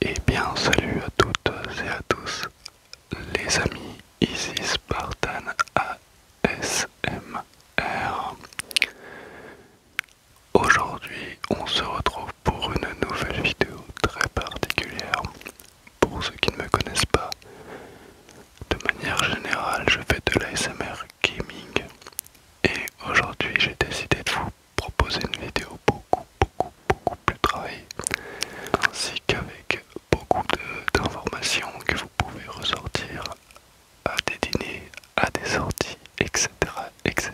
et eh bien, salut à toutes et à tous les amis, ici Spartan ASMR. Aujourd'hui, on se retrouve pour une nouvelle vidéo très particulière. Pour ceux qui ne me connaissent pas, de manière générale, je fais de l'ASMR gaming et aujourd'hui j'ai décidé de vous proposer une vidéo beaucoup, beaucoup, beaucoup plus travaillée ainsi qu'avec beaucoup d'informations que vous pouvez ressortir à des dîners, à des sorties, etc. etc.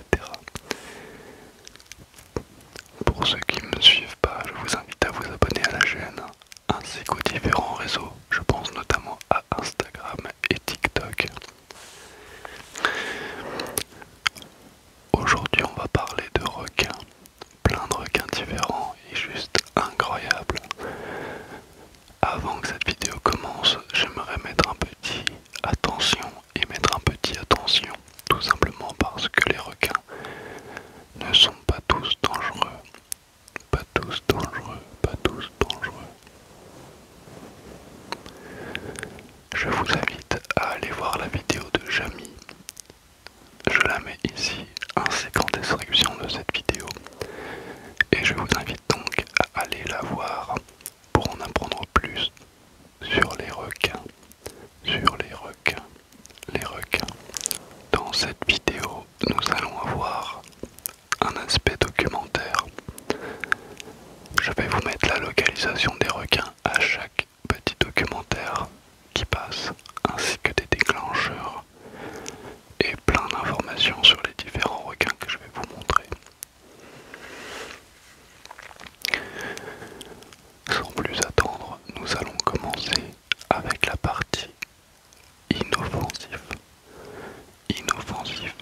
Pour ceux qui ne me suivent pas, je vous invite à vous abonner à la chaîne ainsi qu'aux différents réseaux, je pense notamment à Instagram et TikTok. Aujourd'hui on va parler de requins, plein de requins différents et juste incroyables. Avant que cette vidéo commence, j'aimerais mettre un petit attention et mettre un petit attention, tout simplement parce que les requins ne sont pas tous dangereux. Pas tous dangereux, pas tous dangereux. Je vous invite à aller voir la vidéo de Jamie. Je la mets ici ainsi qu'en description de cette vidéo. Et je vous invite donc à aller la voir pour en apprendre plus sur les requins sur les requins. Les requins. Dans cette vidéo, nous allons avoir un aspect documentaire. Je vais vous mettre la localisation des requins à chaque petit documentaire qui passe, ainsi que des déclencheurs et plein d'informations sur les différents requins que je vais vous montrer. Sans plus attendre, nous allons commencer avec la partie inoffensive. Inoffensive.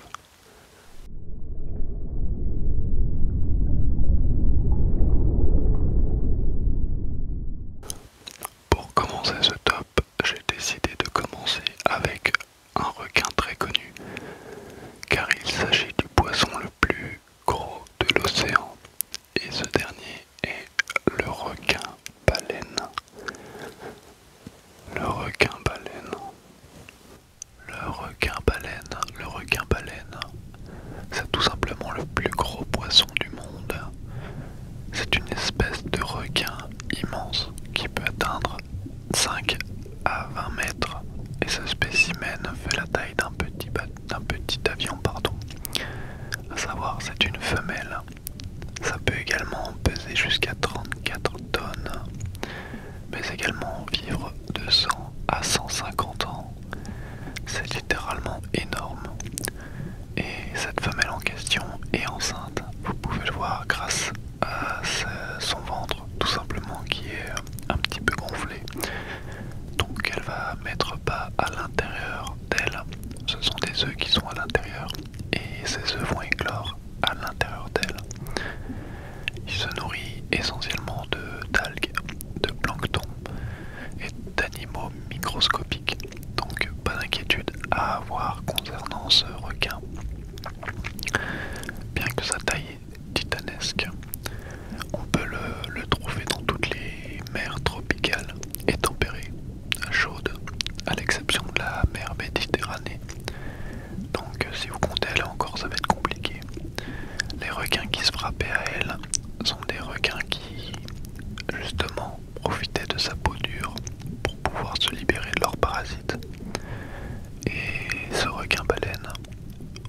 Pour commencer ce top, j'ai décidé de commencer avec un requin très connu, car il s'agit du poisson le plus gros de l'océan et ce dernier est le requin baleine. Le requin baleine. Le requin baleine. Le requin baleine. C'est tout simplement le plus gros poisson du monde. C'est une espèce de requin immense qui peut atteindre 5 à 20 mètres et ce spécimen fait la taille d'un petit, petit avion, pardon. à savoir c'est une femelle. Ça peut également peser jusqu'à 34 tonnes, mais également vivre de 100 à 150 ans. C'est littéralement énorme. Et cette femelle en question est enceinte. Vous pouvez le voir grâce à son ventre tout simplement qui est euh, un petit peu gonflé. Donc elle va mettre pas à l'intérieur d'elle. Ce sont des œufs qui sont à l'intérieur et ces œufs vont éclore à l'intérieur d'elle. Il se nourrit essentiellement de d'algues, de plancton et d'animaux microscopiques. Donc pas d'inquiétude à avoir concernant ce requin. Bien que sa taille titanesque. On peut le, trouver dans toutes les mers tropicales et tempérées, chaudes, à l'exception de la mer Méditerranée. Donc euh, si vous comptez là encore, ça va être compliqué. Les requins qui se frappaient à elle sont des requins qui, justement, profitaient de sa peau dure pour pouvoir se libérer de leurs parasites. Et ce requin baleine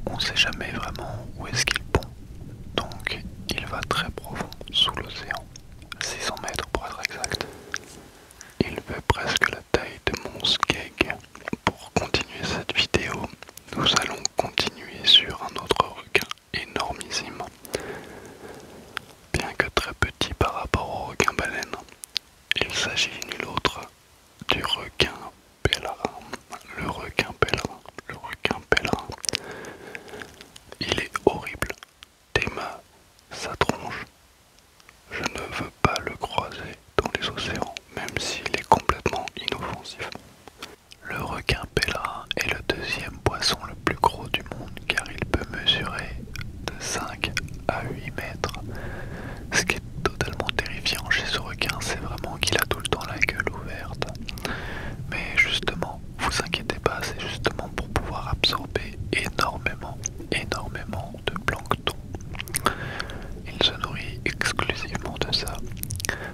on ne sait jamais vraiment où est-ce qu'il pond. Donc il va très profond sous l'océan, 600 mètres pour être exact. Il fait presque la taille de mon skeg. Pour continuer cette vidéo, nous allons continuer sur un autre requin énormissime. Bien que très petit par rapport au requin baleine, il s'agit nul autre du requin le requin pélerin, le requin pélerin. Il est horrible. mains, sa tronche. Je ne veux pas le croiser dans les océans, même s'il est complètement inoffensif. Le requin pélerin est le deuxième poisson le plus gros du monde car il peut mesurer de 5 à 8 mètres, totalement terrifiant chez ce requin, c'est vraiment qu'il a tout le temps la gueule ouverte. Mais justement, vous inquiétez pas, c'est justement pour pouvoir absorber énormément, énormément de plancton. Il se nourrit exclusivement de ça.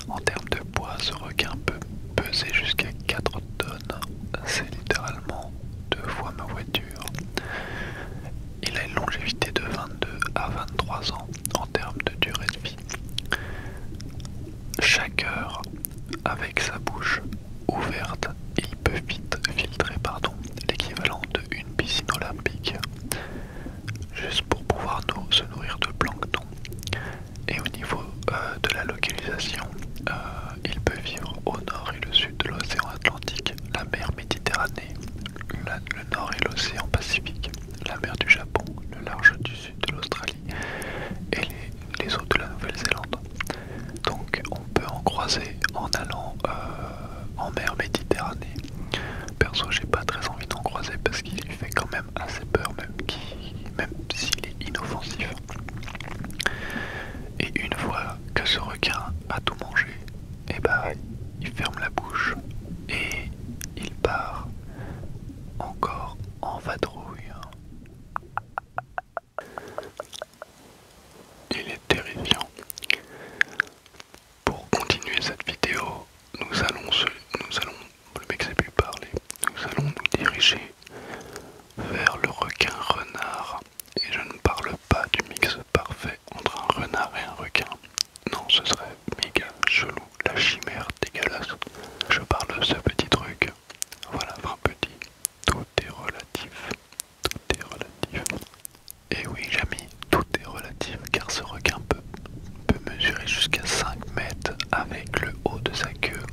En termes de poids, ce requin peut peser jusqu'à 4 tonnes. C'est littéralement deux fois ma voiture. Il a une longévité de 22 à 23 ans en termes de durée de vie. Chaque heure, avec sa bouche ouverte, il peut vite filtrer l'équivalent de une piscine olympique, juste pour pouvoir se nourrir de plancton. Et au niveau euh, de la localisation, euh, il peut vivre au nord et le sud de l'océan Atlantique, la mer Méditerranée le nord et l'océan Pacifique, la mer du Japon, le large du sud de l'Australie et les, eaux de la Nouvelle-Zélande. Donc on peut en croiser en allant euh, en mer Méditerranée. Perso j'ai pas très envie d'en croiser parce qu'il fait quand même assez peur même, même s'il est inoffensif. Et une fois que ce requin a tout mangé, et eh bah ben, il ferme la bouche et il part encore en vadrouille. Il est terrifiant. Pour continuer cette vidéo, nous allons nous allons le mec parler. Nous allons nous diriger vers le requin renard et je ne parle pas du mix parfait entre un renard et un requin non, ce serait méga chelou, la chimère dégueulasse. Je parle de ce petit truc. Voilà, vraiment petit. Tout est relatif. Tout est relatif. Et eh oui, mis tout est relatif car ce requin peut, mesurer jusqu'à 5 mètres avec le haut de sa queue.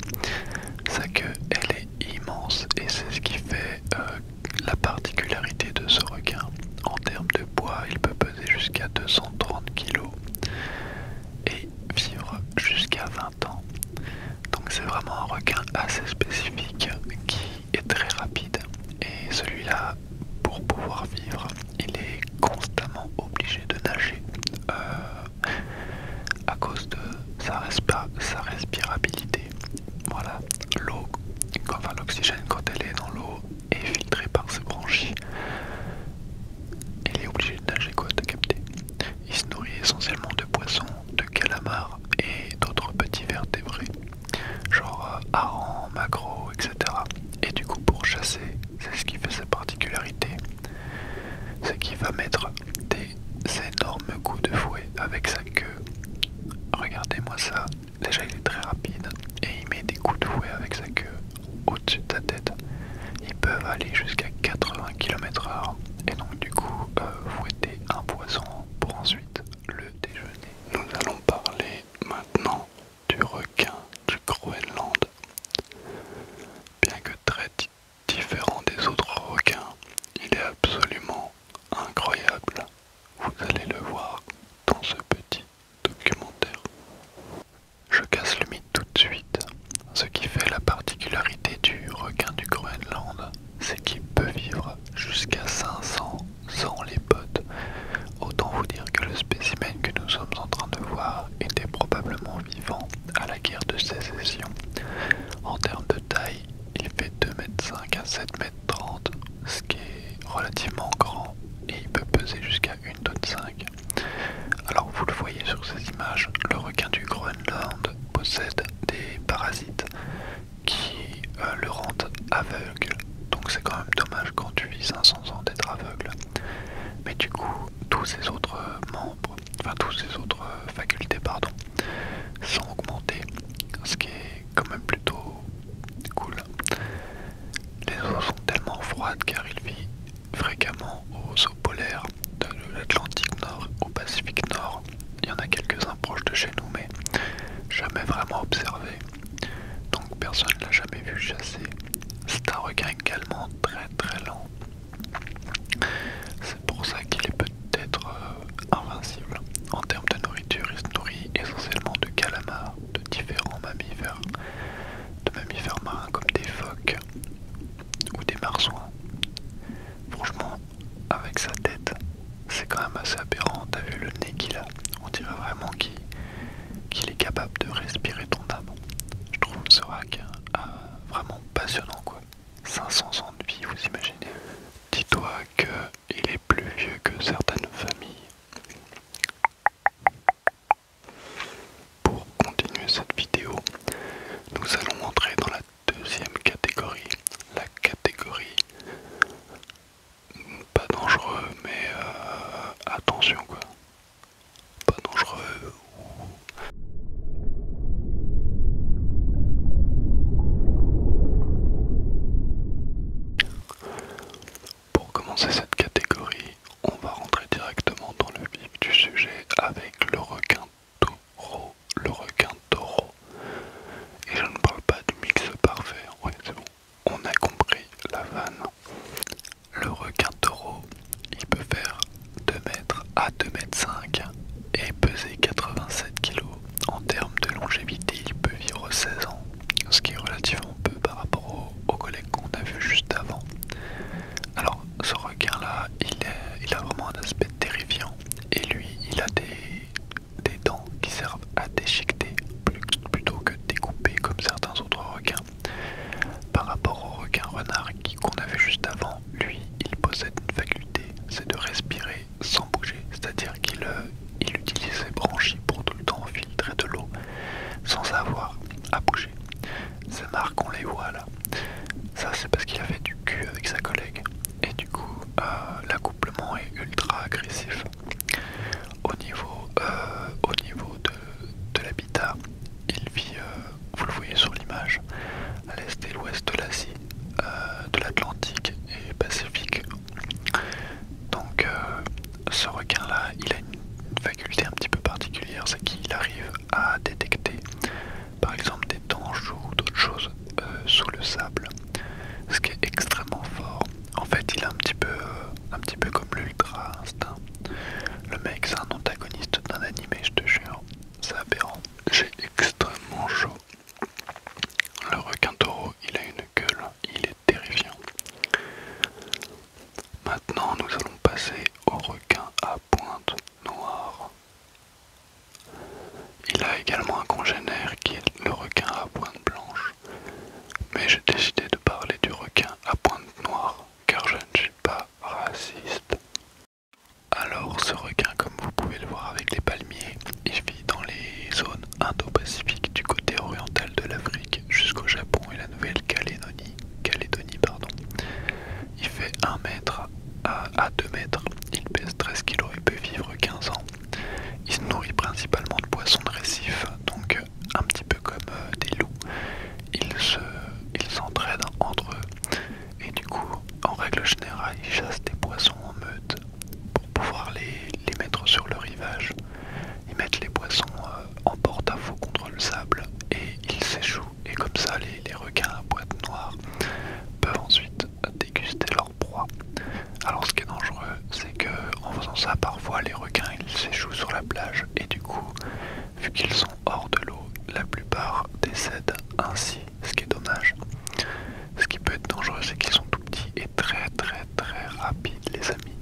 Sa queue, elle est immense et c'est ce qui fait euh, la particularité de ce requin, en termes de poids, il peut peser jusqu'à 230 kg et vivre jusqu'à 20 ans. Donc c'est vraiment un requin assez spécifique qui est très rapide. Et celui-là, pour pouvoir vivre, il est constamment obligé de nager euh, à cause de sa respirabilité. Voilà, l'eau, enfin l'oxygène quand elle est dans l'eau est filtré par ses branchies. Il est obligé de nager quoi, de capté Il se nourrit essentiellement de poissons, de calamars et d'autres petits vertébrés, genre hareng, euh, harengs, etc. Et du coup pour chasser, c'est ce qui fait sa particularité, c'est qu'il va mettre des énormes coups de fouet avec sa queue. Regardez-moi ça, Déjà, il est très rapide et il met des coups de fouet avec sa queue au-dessus de sa tête. Ils peuvent aller jusqu'à 80 km/h et donc, du coup, euh, fouetter un poisson pour ensuite le déjeuner. Nous allons parler maintenant du requin du Groenland. Bien que très différent des autres requins, il est absolument incroyable vous allez le voir dans ce petit documentaire. Je casse le mythe tout de suite. Ce qui fait la particularité du requin du Groenland, c'est qu'il peut vivre jusqu'à 500 sans les potes. Autant vous dire que le spécimen que nous sommes en train de voir était probablement vivant à la guerre de sécession. En termes de taille, il fait 2,5 m à 7 m ce qui est relativement grand et il peut peser jusqu'à une tonne 5. Alors vous le voyez sur ces images, le requin du Groenland possède des parasites qui euh, le rendent aveugle. Donc c'est quand même dommage quand tu vis 500 ans d'être aveugle. Mais du coup, tous ses autres membres, enfin tous ses autres euh, facultés, pardon, sont augmentées, ce qui est quand même plutôt cool. Les eaux sont tellement froides car il vit fréquemment aux eaux polaires de l'Atlantique Nord au Pacifique Nord. Il y en a quelques-uns proches de chez nous, mais jamais vraiment observés. Donc personne ne l'a jamais vu chasser. C'est un requin également très très lent. C'est pour ça qu'il est d'être euh, invincible. En termes de nourriture, il se nourrit essentiellement de calamars, de différents mammifères, de mammifères marins comme des phoques ou des marsouins. Franchement, avec sa tête, c'est quand même assez aberrant. T'as vu le nez qu'il a On dirait vraiment qu'il est capable de respirer ton âme. Je trouve ce rack euh, vraiment passionnant quoi. 500 ans de vie, vous imaginez Dis-toi que il est plus vieux que certaines familles. Pour continuer cette vidéo, nous allons entrer dans la deuxième catégorie, la catégorie pas dangereux mais euh, attention quoi, pas dangereux pour commencer cette catégorie, on va rentrer directement dans le vif du sujet avec le requin taureau. Le requin taureau. Et je ne parle pas du mix parfait, ouais on a compris la vanne. Le requin taureau, il peut faire 2 mètres à 2 mètres 5 et peser 87 kg en termes de longévité, il peut vivre 16 ans, ce qui est relativement peu par rapport au qu'on a vu juste avant. Alors, ce requin-là, il, a vraiment un aspect terrifiant, et lui, il a des, dents qui servent à déchiqueter plutôt que découper comme certains autres requins. Par rapport au requin renard qu'on avait juste avant, lui, il possède une faculté, c'est de respirer sans bouger, c'est-à-dire qu'il euh, utilise ses branchies pour tout le temps filtrer de l'eau sans avoir à bouger. Ces marques, on les voit là. Ça, c'est parce qu'il avait du cul avec sa collègue. Et du coup, euh, l'accouplement est ultra agressif. Au niveau, euh, au niveau de, l'habitat, il vit, vous le voyez sur l'image, à l'est et l'ouest de l'Asie, euh, de l'Atlantique et Pacifique. Donc euh, ce requin-là, il a une faculté un petit peu particulière, c'est qu'il arrive à détecter par exemple des tanges ou d'autres choses euh, sous le sable, ce qui est extrêmement fort. En fait, il est un petit peu, un petit peu comme l'ultra instinct. Le mec, c'est un antagoniste d'un animé, je te jure. C'est aberrant. J'ai extrêmement chaud. Le requin taureau, il a une gueule, il est terrifiant. Maintenant, nous allons passer au requin à pointe noire. Il a également un congénère qui est le requin à pointe blanche, mais j'ai décidé de parler du requin à pointe noire car je ne suis pas raciste. Alors ce requin comme vous pouvez le voir avec les palmiers il vit dans les zones indo-pacifiques du côté oriental de l'Afrique jusqu'au Japon et la Nouvelle-Calédonie. Calédonie, pardon. Il fait 1 mètre à, 2 mètres, il pèse 13 kg et peut vivre 15 ans. Il se nourrit principalement de poissons de récifs, donc euh, un petit peu comme euh, des loups. Ils s'entraident entre eux et du coup, en règle générale, ils chassent des poissons en meute pour pouvoir les, mettre sur le rivage. Ils mettent les poissons euh, en porte-à-faux contre le sable et ils s'échouent. Et comme ça, les, requins à boîte noire peuvent ensuite déguster leur proie. Alors ce qui est dangereux, c'est que en faisant ça, parfois les requins ils s'échouent sur la plage et du coup, vu qu'ils sont hors de l'eau, la plupart décèdent ainsi ce qui est dommage. Ce qui peut être dangereux, c'est qu'ils sont tout petits et très très très rapides, les amis.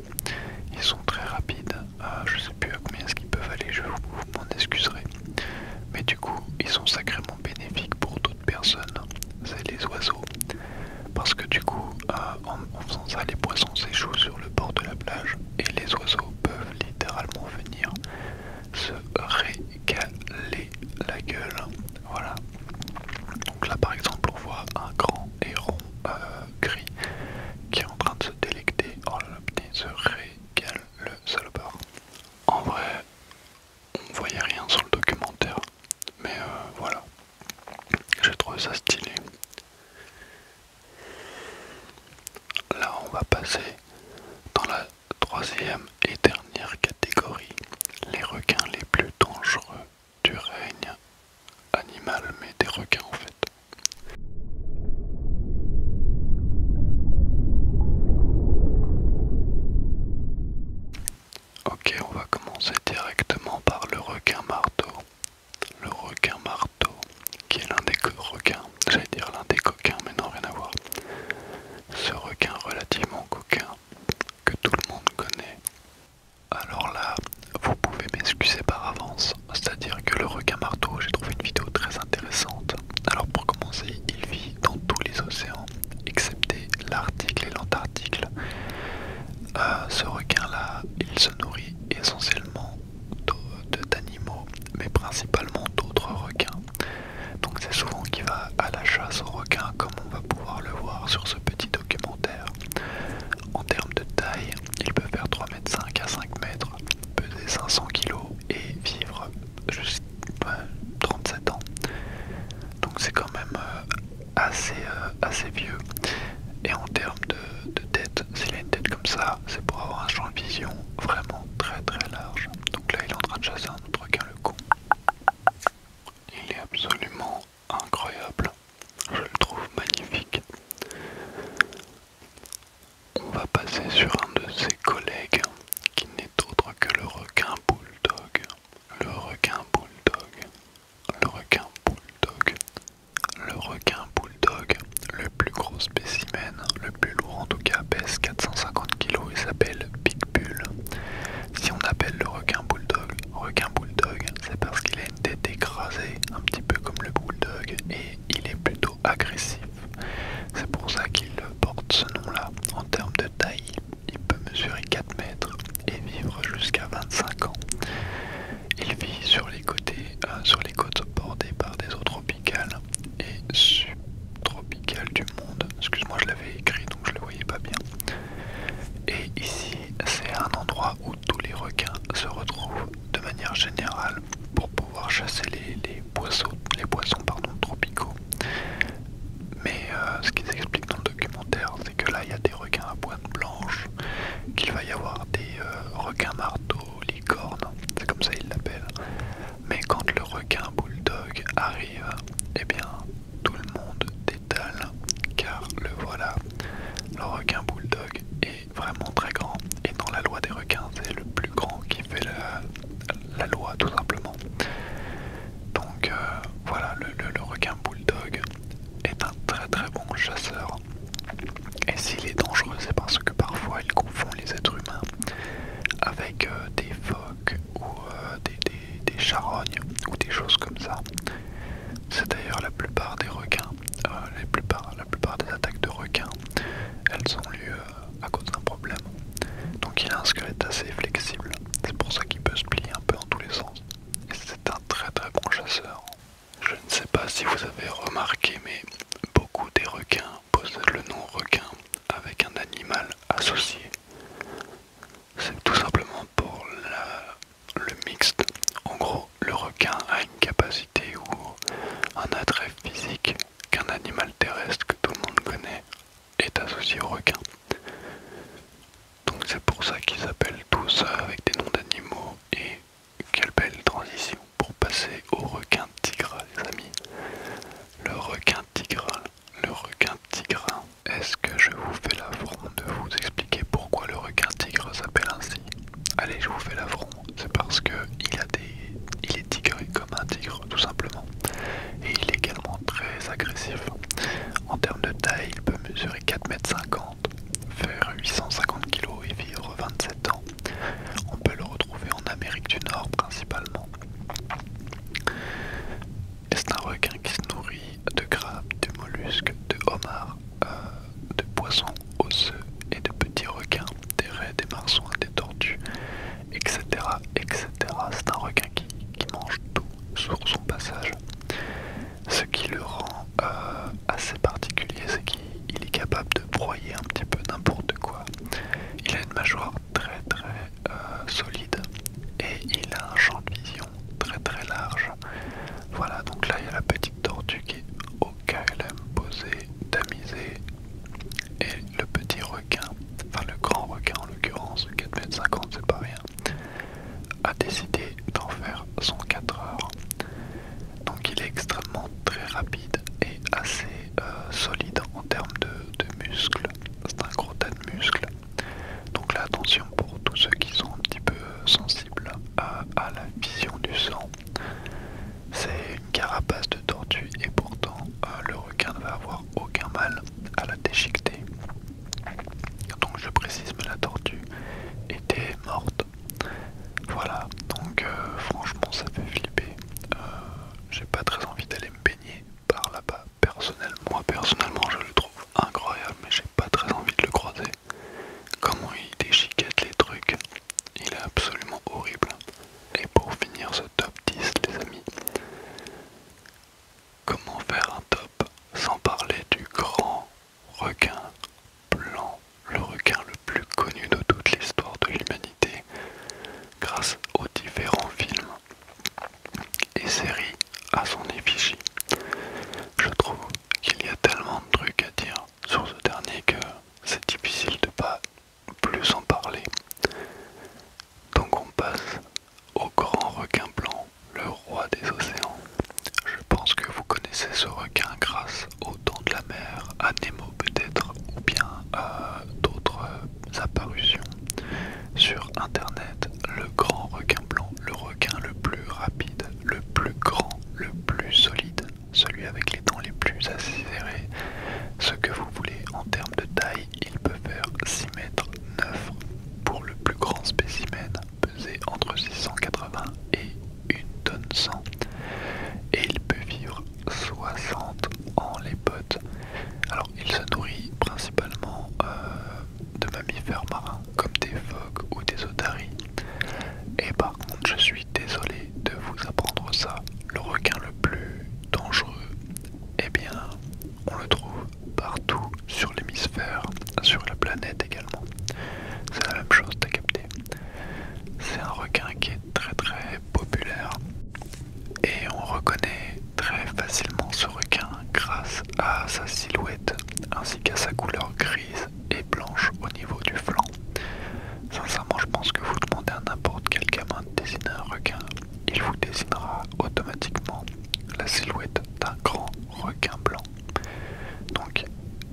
Ils sont très rapides. Je euh, je sais plus à combien est-ce qu'ils peuvent aller, je vous, m'en excuserai. Mais du coup, ils sont sacrément bénéfiques pour d'autres personnes. C'est les oiseaux. Parce que du coup, euh, en faisant ça, les poissons s'échouent sur le bord de la plage et les oiseaux peuvent littéralement venir se régaler la gueule. Voilà. Donc là par exemple on voit un grand héron euh, gris qui est en train de se délecter. Oh là se régale le salopard. En vrai, on voyait rien sur le documentaire. Mais euh, voilà. J'ai trouvé ça stylé. Là on va passer dans la troisième et dernière catégorie, les requins les plus dangereux du règne animal, mais des requins en fait. Ok, on va commencer directement par le requin marteau. Le requin marteau, qui est l'un des requins, j'allais dire l'un des coquins, mais non, rien à voir ce requin relativement coquin que tout le monde connaît. Alors là, vous pouvez m'excuser par avance, c'est-à-dire que le requin marteau, j'ai trouvé une vidéo très intéressante. Alors pour commencer, il vit dans tous les océans, excepté l'Arctique et l'Antarctique. Euh, ce requin-là, il se nourrit essentiellement d'animaux, mais principalement d'autres requins. Donc c'est souvent qu'il va à la chasse aux requin comme on va pouvoir le voir sur ce petit documentaire. En termes de taille, il peut faire 3,5 mètres à 5m, peser 500 kg et vivre jusqu'à 37 ans. Donc c'est quand même euh, euh, assez, vieux. Et en termes de, tête, s'il a une tête comme ça, c'est pour avoir un champ de vision vraiment très très large. Donc là il est en train de chasser un autre requin le con. Il est absolument incroyable. Je le trouve magnifique. On va passer sur un de ses collègues qui n'est autre que le requin bulldog. Le requin bulldog. Le requin bulldog. Le requin bulldog. Le plus gros spécimen, le en tout cas, pèse 450 kg et s'appelle big bull Si on appelle le requin bulldog requin bulldog, c'est parce qu'il a une tête écrasée, un petit peu comme le bulldog, et il est plutôt agressif. C'est pour ça qu'il porte ce nom-là. En termes de taille, il peut mesurer 4 mètres et vivre jusqu'à 25 ans. Il vit euh, sur les côtes bordées par des eaux tropicales et subtropicales du monde. Excuse-moi, je l'avais écrit donc je le voyais pas bien. Et ici, c'est un endroit où tous les requins se retrouvent de manière générale pour pouvoir chasser les, poissons, tropicaux. Mais euh, ce qu'ils expliquent dans le documentaire, c'est que là, il y a des requins à pointe blanche, qu'il va y avoir des euh, requins marteaux, licorne c'est comme ça ils l'appellent, mais quand le requin bulldog arrive, eh bien tout le monde détale car le voilà. Le requin bulldog est vraiment très grand et dans la loi des requins c'est le plus grand qui fait la, loi tout simplement. Donc euh, voilà, le, requin bulldog est un très très bon chasseur. Et s'il est dangereux, c'est parce que parfois il confond les êtres humains avec euh, des phoques ou euh, des, des, charognes ou des choses comme ça. C'est d'ailleurs la plupart des requins, euh, la plupart des attaques de requins, elles ont lieu euh, à cause d'un problème. Donc il a un squelette assez flexible, c'est pour ça qu'il peut se plier un peu en tous les sens. Et c'est un très très bon chasseur. Je ne sais pas si vous avez remarqué, mais beaucoup des requins possède le nom requin avec un animal associé. C'est tout simplement pour le mixte. En gros, le requin a une capacité ou un attrait physique qu'un animal terrestre que tout le monde connaît est associé au requin. Donc c'est pour ça qu'ils s'appellent tous avec des noms d'animaux et quelle belle transition pour passer au requin tigre les amis. Le requin tigre. Le requin Est-ce que je vous fais l'affront de vous expliquer pourquoi le requin tigre s'appelle ainsi Allez, je vous fais l'affront. C'est parce que il a des, il est tigré comme un tigre, tout simplement. Et il est également très agressif. En termes de taille, il peut mesurer 4,50 m, faire 850 kg et vivre 27 ans. On peut le retrouver en Amérique du Nord principalement. C'est un requin qui se nourrit de crabes, de mollusques, de homards, euh, de poissons osseux et de petits requins, des raies, des marsouins, des tortues, etc. etc. C'est un requin qui, mange tout sur son passage. Ce qui le rend euh, assez particulier, c'est qu'il est capable de broyer un petit peu n'importe quoi il a une mâchoire très très euh, solide et il a un champ de vision très très large. Voilà, donc là il y a la petite tortue qui est au KLM posée, tamisée et le petit requin, enfin le grand requin en l'occurrence, 4m50 c'est pas rien, a décidé d'en faire son 4 heures. Donc il est extrêmement très rapide et assez euh, solide en termes de, muscles. C'est un gros tas de muscles. Donc là, attention pour tous ceux qui sont un petit peu euh, sensibles à, la vision du sang. C'est une carapace de tortue et pourtant euh, le requin ne va avoir aucun mal à la déchiqueter. Donc je précise, que la tortue était morte. Voilà, donc franchement ça fait flipper j'ai pas très envie d'aller me baigner par là-bas. Personnellement, moi personnellement, je le trouve incroyable, mais j'ai pas très envie de le croiser. Comment il déchiquette les trucs, il est absolument horrible. Et pour finir ce top 10, les amis, comment faire un top sans parler du grand requin blanc, le requin le plus connu de toute l'histoire de l'humanité, grâce aux différents films et séries à son effigie. Je trouve qu'il y a tellement de trucs à dire sur ce dernier que c'est difficile de pas plus en parler. Donc on passe au grand requin blanc, le roi des océans. Je pense que vous connaissez ce requin grâce au don de la mer, à Nemo peut-être, ou bien d'autres euh, apparitions sur internet. Le grand requin blanc, le requin le plus rapide, le plus grand, le plus solide, celui avec les dents les plus acérées, ce que vous voulez en termes de taille, il peut faire 6 mètres 9 pour le plus grand spécimen, peser entre 680 et 1 tonne 100 et il peut vivre 60 en les potes. Alors il se nourrit principalement euh, de mammifères marins comme des phoques ou des otaries. Et par contre je suis désolé de vous apprendre ça. Le requin le plus dangereux, eh bien on le trouve partout sur l'hémisphère, sur la planète également. C'est la même chose, t'as capté. C'est un requin qui est très très populaire et on reconnaît très facilement ce requin grâce à sa silhouette ainsi qu'à sa couleur grise et blanche au niveau du flanc. Sincèrement, je pense que vous demandez à n'importe quel gamin de dessiner un requin, il vous dessinera automatiquement la silhouette d'un grand requin blanc. Donc,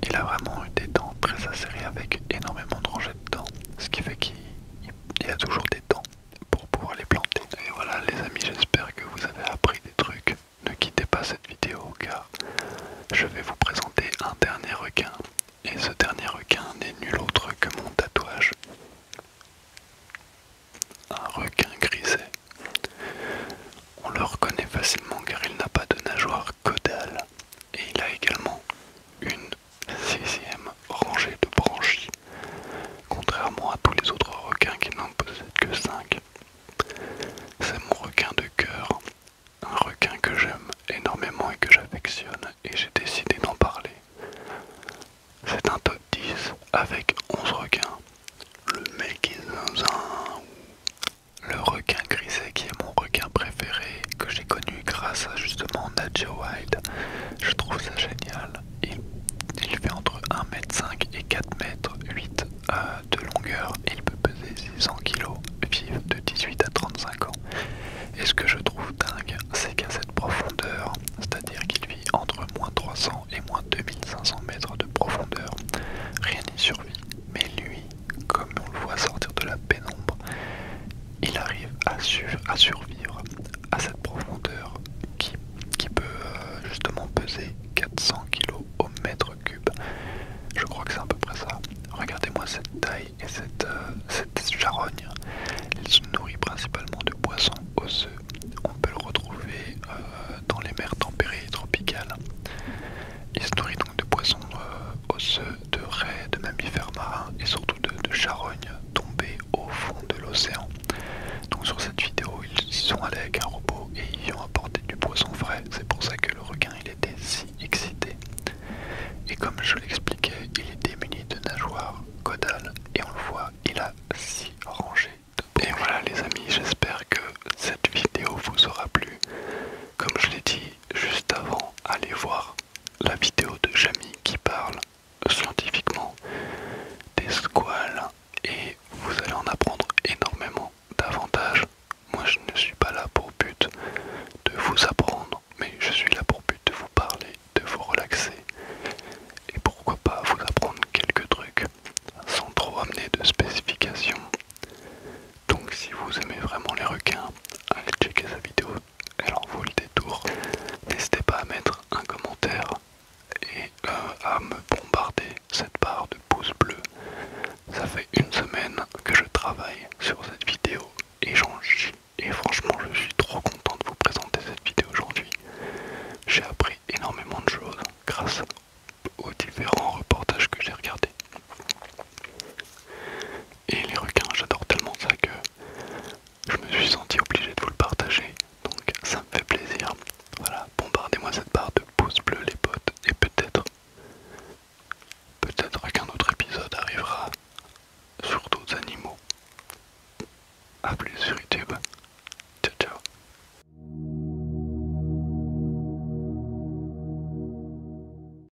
il a vraiment eu des dents très acérées avec énormément de rangées de dents, ce qui fait qu'il il y a toujours des temps pour pouvoir les planter. Et voilà les amis, j'espère que vous avez appris des trucs. Ne quittez pas cette vidéo car je vais vous présenter un dernier requin. Et ce dernier requin n'est nul autre que mon tatouage. Un requin grisé On le reconnaît facilement car il n'a pas de nageoire caudale et il a également une Sixième rangée de branchies, contrairement à tous les autres requins qui n'en possèdent que 5. C'est mon requin de cœur, un requin que j'aime énormément et que j'affectionne, et j'ai décidé d'en parler. C'est un top 10 avec 11 requins. Le mec le requin grisé qui est mon requin préféré que j'ai connu grâce à justement Je trouve ça génial. Il, fait entre 1m5 et 4m8 euh, de longueur et il peut peser 600 kg, vivre de 18 à 35 ans. Et ce que je trouve dingue, c'est qu'à cette profondeur, c'est-à-dire qu'il vit entre moins 300 et moins 2500 mètres de profondeur, rien n'y survit. Mais lui, comme on le voit sortir de la pénombre, il arrive à, survivre à cette profondeur qui, peut euh, justement peser 400 kg au mètre cube. Je crois que c'est à peu près ça. Regardez-moi cette taille et cette, euh, charogne. Il se nourrit principalement de poissons osseux. On peut le retrouver euh, dans les mers tempérées et tropicales. Il se nourrit donc de poissons osseux de raies, de mammifères marins et surtout de, charognes tombées au fond de l'océan. Donc sur cette vidéo, ils sont allés avec un robot et ils ont apporté du poisson frais. C'est pour ça que le requin il était si excité. Et comme je l'expliquais, il est muni de nageoires caudales et on le voit, il a si rangé. et voilà les amis, j'espère que cette vidéo vous aura plu. Comme je l'ai dit juste avant, allez voir la vidéo de Jamie qui parle scientifiquement des squales et vous allez en apprendre énormément davantage. Moi je ne suis pas là pour but de vous apprendre, mais je suis là pour but de vous parler, de vous relaxer et pourquoi pas vous apprendre quelques trucs sans trop amener de spécifications. Donc si vous aimez vraiment les requins, allez checker sa vidéo alors, vous le détour. N'hésitez pas à mettre un commentaire et euh, à me bombarder cette barre de pouces bleus. Ça fait une semaine que je travaille sur cette vidéo et j'en Et franchement, je suis trop content de vous présenter cette vidéo aujourd'hui. J'ai appris énormément de choses grâce aux différents reportages que j'ai regardés et les requins, j'adore tellement ça que je me suis senti obligé de vous le partager. Donc ça me fait plaisir. Voilà, bombardez-moi cette barre de pouces bleus les potes et peut-être, peut-être qu'un autre épisode arrivera sur d'autres animaux. A plus sur YouTube. Ciao ciao.